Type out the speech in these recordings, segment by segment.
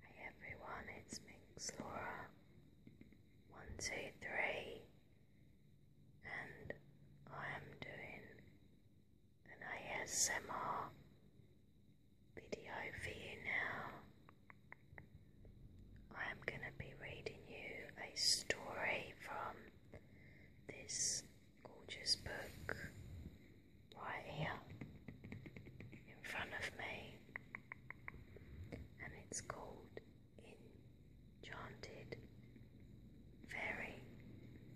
Hey everyone, it's Minx Laura. One, two, three, and I am doing an ASMR video for you now. I am going to be reading you a story from this gorgeous book right here in front of me, and it's called Enchanted Fairy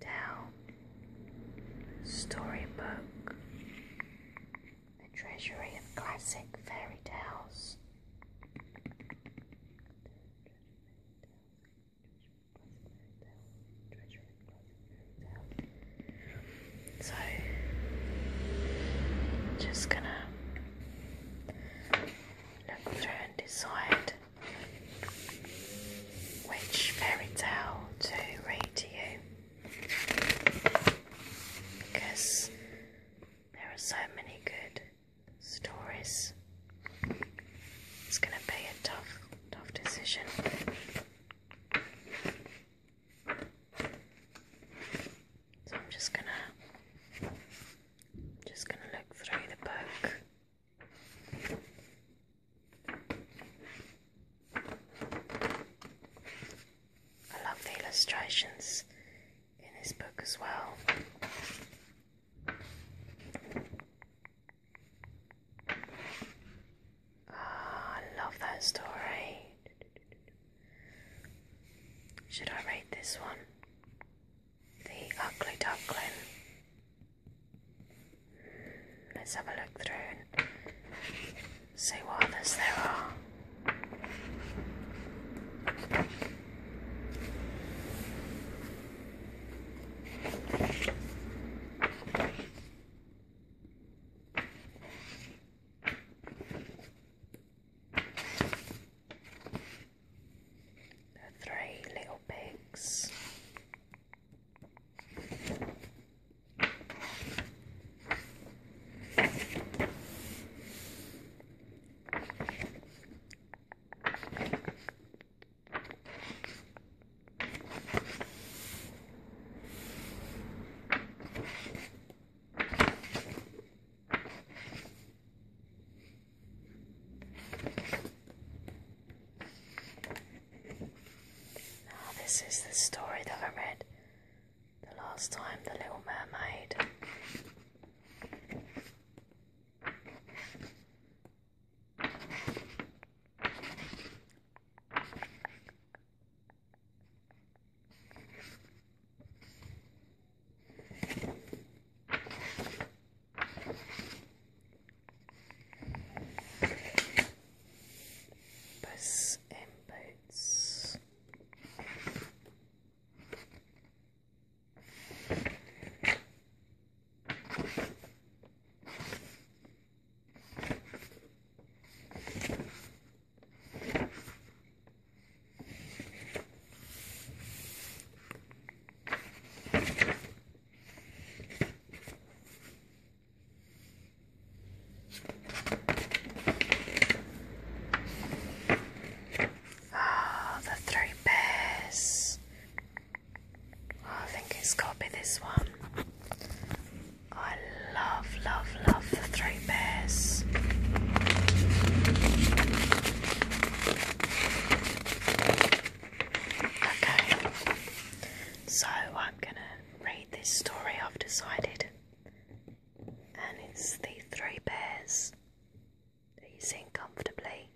Tale Storybook A Treasury of Classic Fairy Tales. So, just gonna look through and decide which fairy tale to read to you because there are so many good stories. It's gonna be a tough tough decision. So I'm just gonna just gonna look through the book. I love the illustrations in this book as well. Ah, I love that story. Should I read this one? The Ugly Duckling. Hmm, let's have a look through and see what others there are. The three little pigs. Now, this is the story that I read the last time The Little Mermaid. Bus and boats. Oh, the three bears. Oh, I think it's got to be this one. I love, love, love the three bears. Okay, so I'm gonna read this story I've decided, and it's the three bears. Are you sitting comfortably?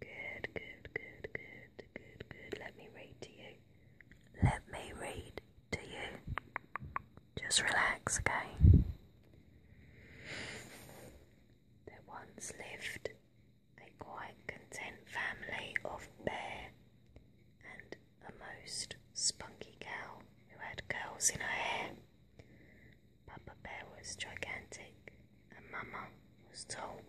Good, good, good, good, good, good. Let me read to you. Let me read to you. Just relax, okay? There once lived a quite content family of bear and a most spunky cow who had curls in her hair. Papa Bear was gigantic and Mama was tall,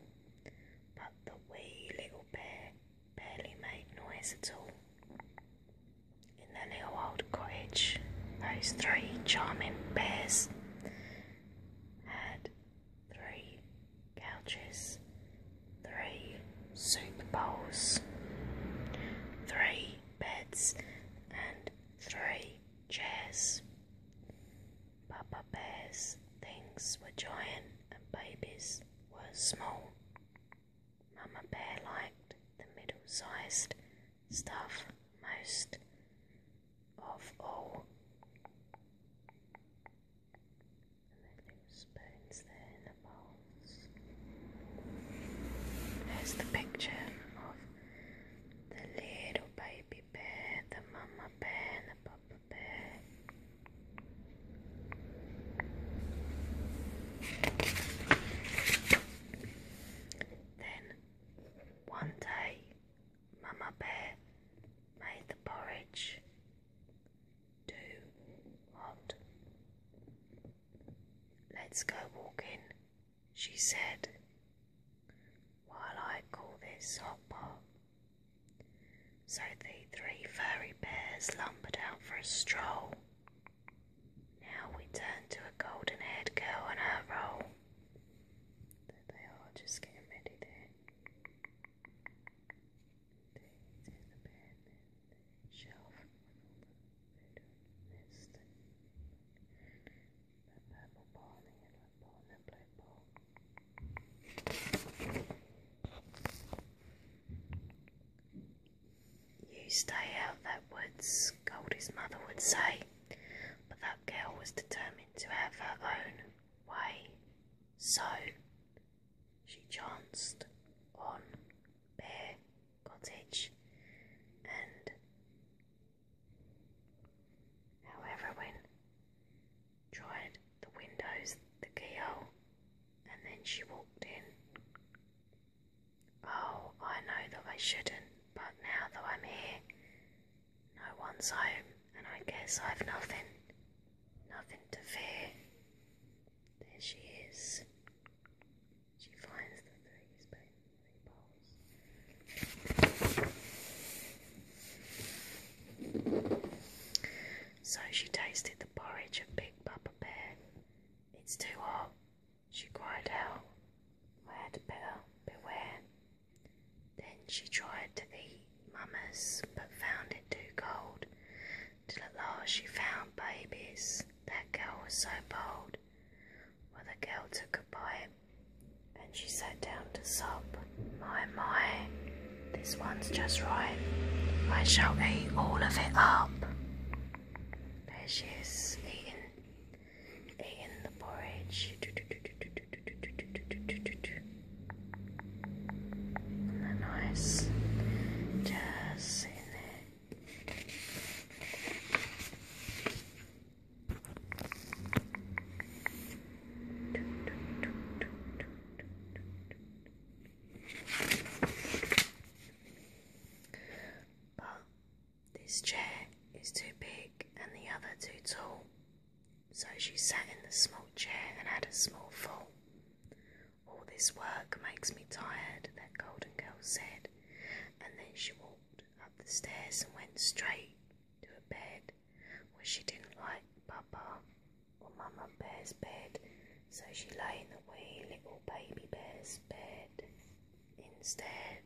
but the wee little bear barely made noise at all. In the little old cottage, those three charming bears had three couches, three soup bowls, three beds, and three chairs. Papa Bear's things were giant and babies were small. Mama Bear liked the middle sized stuff most of all. There's the picture of the little baby bear, the mama bear, the papa bear. Then one day, Mama Bear made the porridge too hot. Let's go walking, she said, while I call this hot pot. So the three furry bears lumbered out for a stroll. Now we turn to a golden haired girl and her roll. they are, just getting ready there. There's the bed, there's the shelf you stay out that woods, Goldie's mother would say, but that girl was determined to have her own way. So she chanced on bear cottage and however when tried the windows, the keyhole, and then she walked in. Oh, I know that I shouldn't, but now that I'm here, no one's home, and I guess I've nothing, nothing to fear. There she is. She finds that there is pain in So she tasted the porridge of Big Papa Bear. It's too hot, she cried out. I had better beware. Then she tried to eat mummies, but found it too cold, till at last she found babies. That girl was so bold, well, the girl took a bite and she sat down to sob. My, my, this one's just right. I shall eat all of it up. There she is, eating, eating the porridge. Isn't Just sitting there. But this chair is too big and the other too tall, so she sat in the small chair and had a small fall. All this work makes me tired, that golden girl said, and then she walked up the stairs and went straight to a bed, where she didn't like Papa or Mamma Bear's bed, so she lay in the wee little baby bear's bed instead.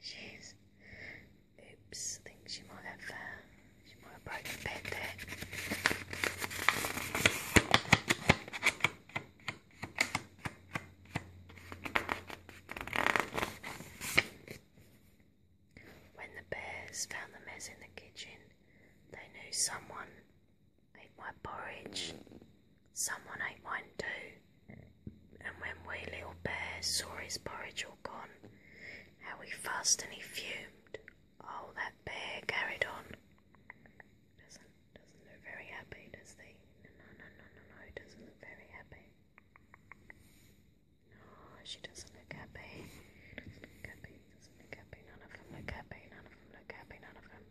She's oops, I she might have uh, she might have the bed there. When the bears found the mess in the kitchen, they knew someone ate my porridge. Someone ate mine too. And when we little bears saw his porridge all gone, how he fussed and he fumed. Oh, that bear carried on. Doesn't doesn't look very happy, does he? No, no, no, no, no, no. doesn't look very happy. No, she doesn't look happy. Doesn't look happy. Doesn't look happy. None of them look happy. None of them look happy. None of them.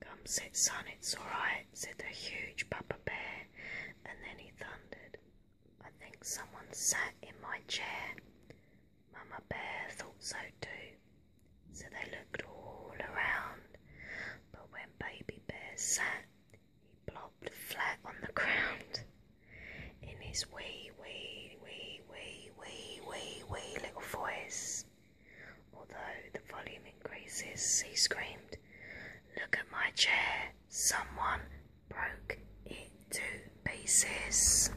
Come sit, son, it's all right, said the huge Papa Bear, and then he thundered, I think someone sat in my chair. Mama Bear thought so too, so they looked all around, but when Baby Bear sat, he plopped flat on the ground. In his wee, wee, wee, wee, wee, wee, wee little voice, Although the volume increases, he screamed, Look at my chair! Someone broke it to pieces.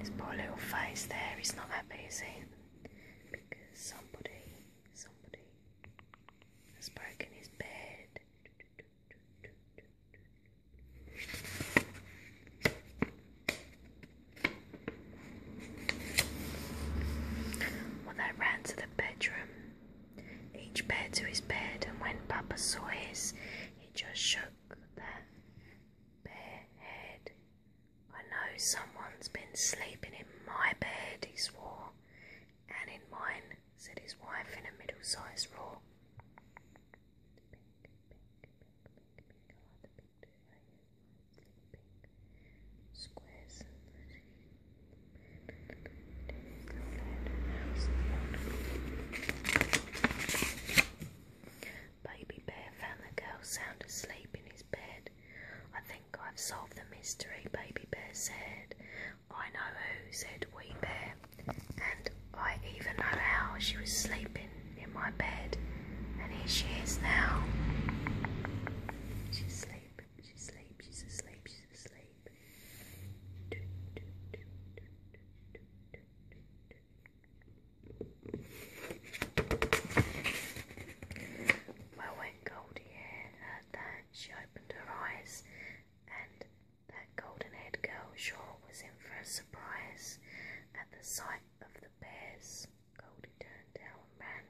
His poor little face there, he's not happy, is Because somebody, somebody has broken his bed. Well, they ran to the bedroom, each bear to his bed, and when Papa saw his, he just shook that bare head. I know someone's been sleeping in my bed, he swore. And in mine, said his wife in a middle sized roar. Baby bear found the girl sound asleep in his bed. I think I've solved the mystery, Baby Bear said. I know who, said Wee Bear, and I even know how she was sleeping in my bed, and here she is now. She's asleep, she's asleep, she's asleep, she's asleep. Well, when Goldie heard that, she opened her eyes, and that golden haired girl sure was in for a surprise at the sight of the bears, Goldie turned tail and ran,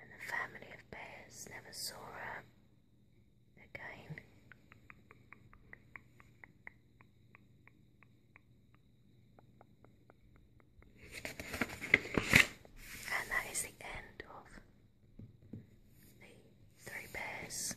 and the family of bears never saw her again. And that is the end of the three bears.